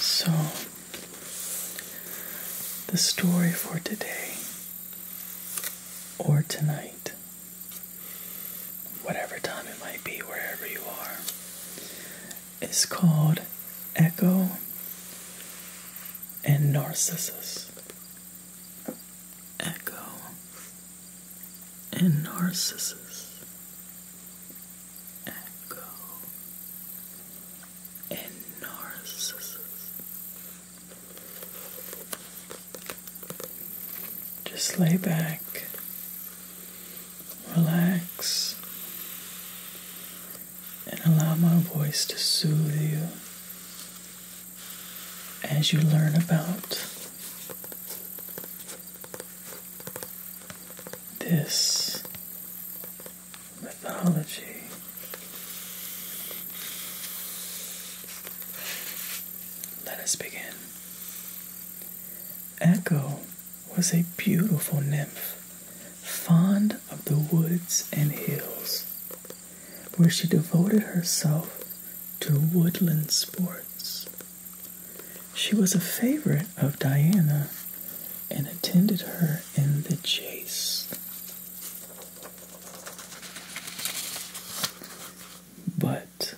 So, the story for today or tonight, whatever time it might be, wherever you are, is called Echo and Narcissus. Echo, and Narcissus. Echo and Narcissus. Just lay back, relax, and allow my voice to soothe you as you learn about this mythology. Let us begin. Echo was a beautiful nymph, fond of the woods and hills where she devoted herself to woodland sports. She was a favorite of Diana and attended her in the chase. But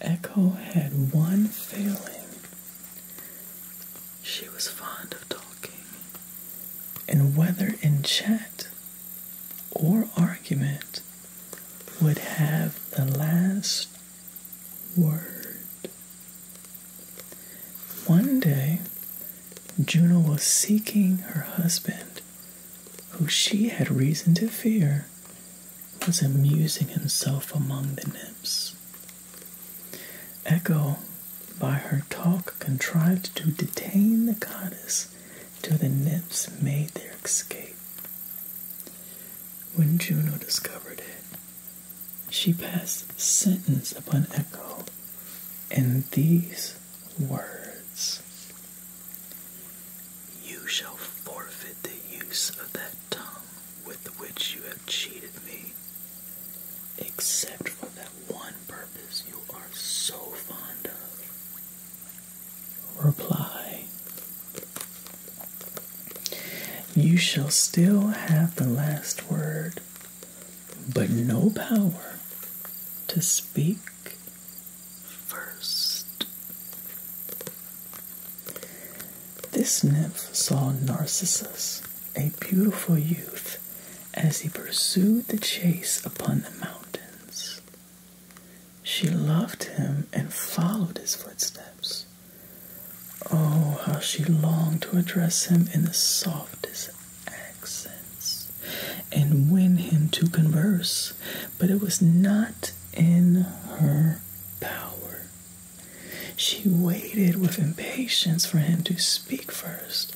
Echo had one failing. She was fond of talking, and whether in chat or argument would have the last word. One day, Juno was seeking her husband, who she had reason to fear was amusing himself among the nymphs. Echo by her talk contrived to detain the goddess till the nymphs made their escape. When Juno discovered it, she passed sentence upon Echo in these words You shall forfeit the use of that tongue with which you have cheated me, except for that one purpose you are so fond of. Reply. You shall still have the last word, but no power to speak first. This nymph saw Narcissus a beautiful youth as he pursued the chase upon the mountains. She loved him and followed his footsteps. Oh, how she longed to address him in the softest accents and win him to converse, but it was not in her power. She waited with impatience for him to speak first,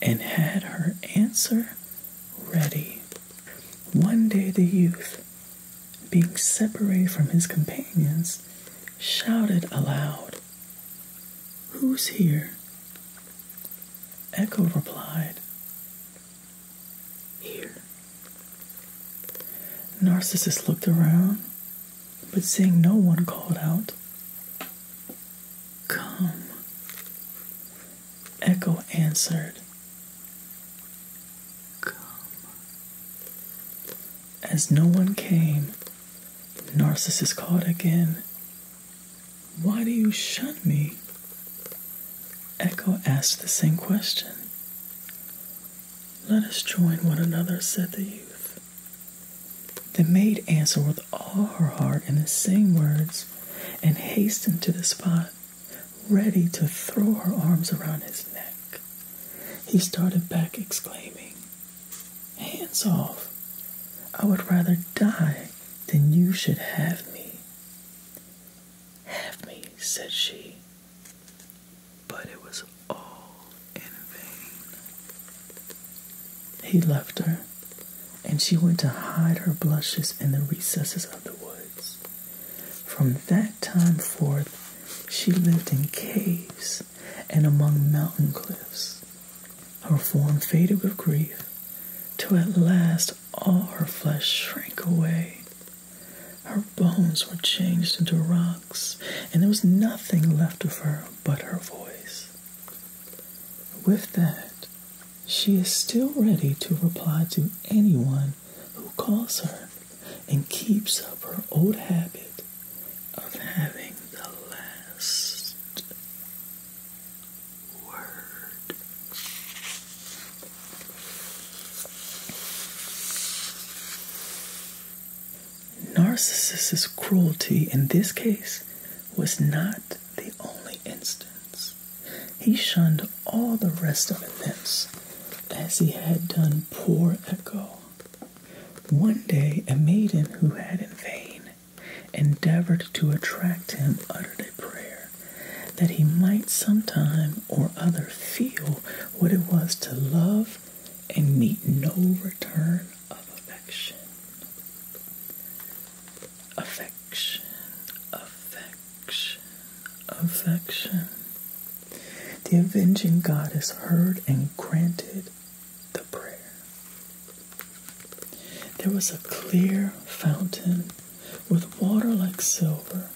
and had her answer ready. One day the youth, being separated from his companions, shouted aloud, Who's here? Echo replied, Here. Narcissus looked around, but seeing no one called out, Come. Echo answered, Come. As no one came, Narcissus called again, Why do you shun me? Echo asked the same question. Let us join one another, said the youth. The maid answered with all her heart in the same words and hastened to the spot, ready to throw her arms around his neck. He started back, exclaiming, Hands off! I would rather die than you should have me. Have me, said she. But it was all in vain. He left her, and she went to hide her blushes in the recesses of the woods. From that time forth, she lived in caves and among mountain cliffs. Her form faded with grief, till at last all her flesh shrank away. Her bones were changed into rocks, and there was nothing left of her but her voice. With that, she is still ready to reply to anyone who calls her and keeps up her old habit of having the last word. Narcissus's cruelty in this case was not the only instance. He shunned all the rest of events as he had done poor Echo. One day, a maiden who had in vain endeavored to attract him uttered a prayer that he might sometime or other feel what it was to love and meet no return of affection. Affection, affection, affection. The avenging goddess heard and granted the prayer. There was a clear fountain with water like silver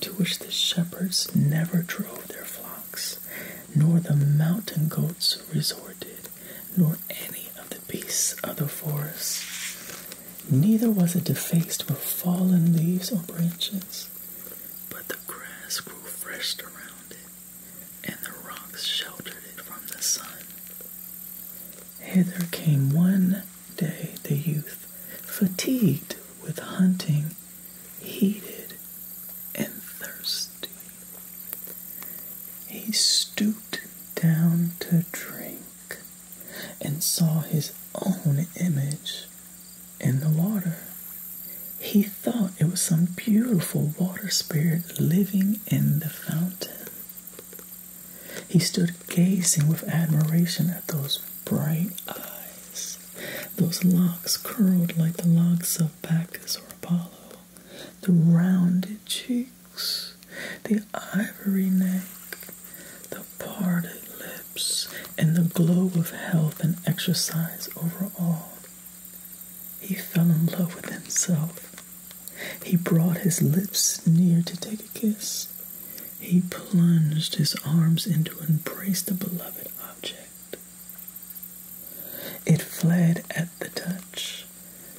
to which the shepherds never drove their flocks nor the mountain goats resorted, nor any of the beasts of the forest. Neither was it defaced with fallen leaves or branches, but the grass grew fresh around it, and the rocks sheltered it from the sun. Hither came one day the youth, fatigued with hunting, heated and thirsty. He stooped down to drink and saw his own image in the water. He thought it was some beautiful water spirit living in the fountain. He stood gazing with admiration at those bright eyes, those locks curled like the locks of of or Apollo, the rounded cheeks, the ivory neck, the parted lips, and the glow of health and exercise overall. He fell in love with himself. He brought his lips near to take a kiss. He plunged his arms in to embrace the beloved object. It fled at the touch,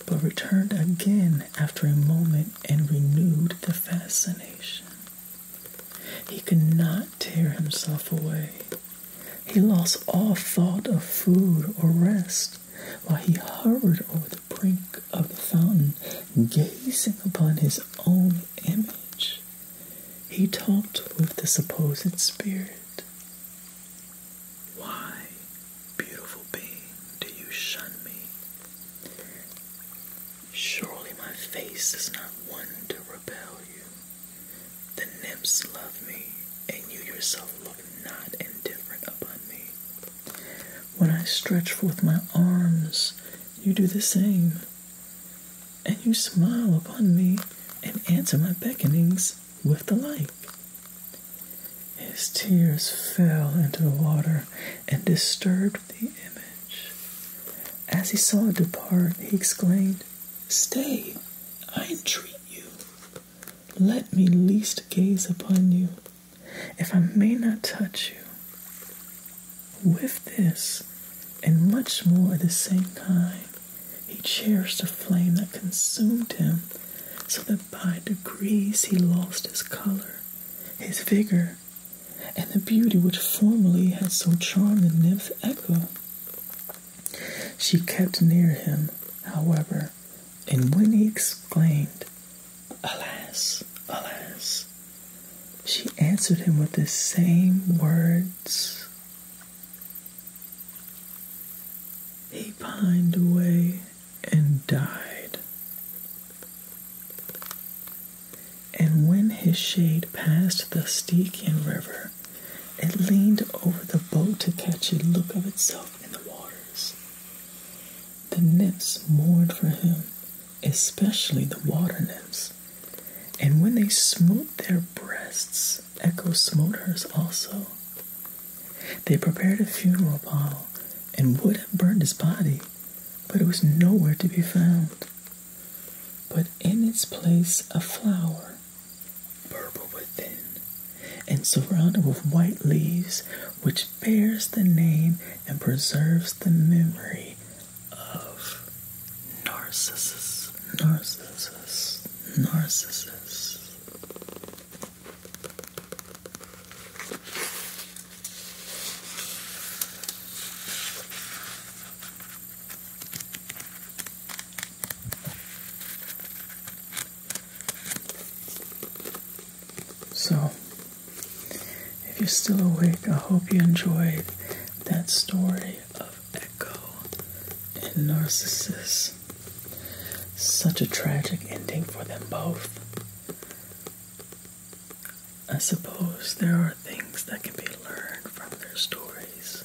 but returned again after a moment and renewed the fascination. He could not tear himself away. He lost all thought of food or rest while he hovered over the brink of the fountain, gazing upon his own image. He talked with the supposed spirit. Why, beautiful being, do you shun me? Surely my face is not one to repel you. The nymphs love me, and you yourself look not indifferent upon me. When I stretch forth my arms, you do the same and you smile upon me and answer my beckonings with the like. His tears fell into the water and disturbed the image. As he saw it depart, he exclaimed, Stay, I entreat you. Let me least gaze upon you, if I may not touch you. With this, and much more at the same time, he cherished a flame that consumed him, so that by degrees he lost his color, his vigor, and the beauty which formerly had so charmed the nymph Echo. She kept near him, however, and when he exclaimed, Alas, alas, she answered him with the same words he pined away and died. And when his shade passed the Stygian river, it leaned over the boat to catch a look of itself in the waters. The nymphs mourned for him, especially the water nymphs, and when they smote their breasts, Echo smote hers also. They prepared a funeral pile and would have burned his body, but it was nowhere to be found. But in its place, a flower, purple within, and surrounded with white leaves, which bears the name and preserves the memory of narcissus, narcissus, narcissus. So, if you're still awake, I hope you enjoyed that story of Echo, and Narcissus. Such a tragic ending for them both. I suppose there are things that can be learned from their stories.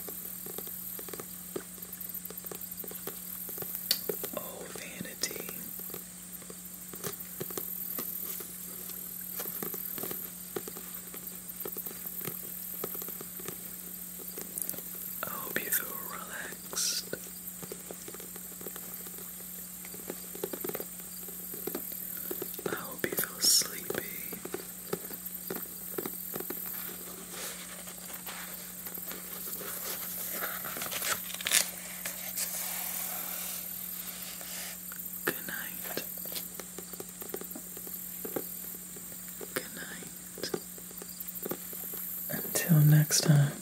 Oh, vanity. I hope you feel relaxed. I hope you feel sleepy. Good night. Good night. Until next time.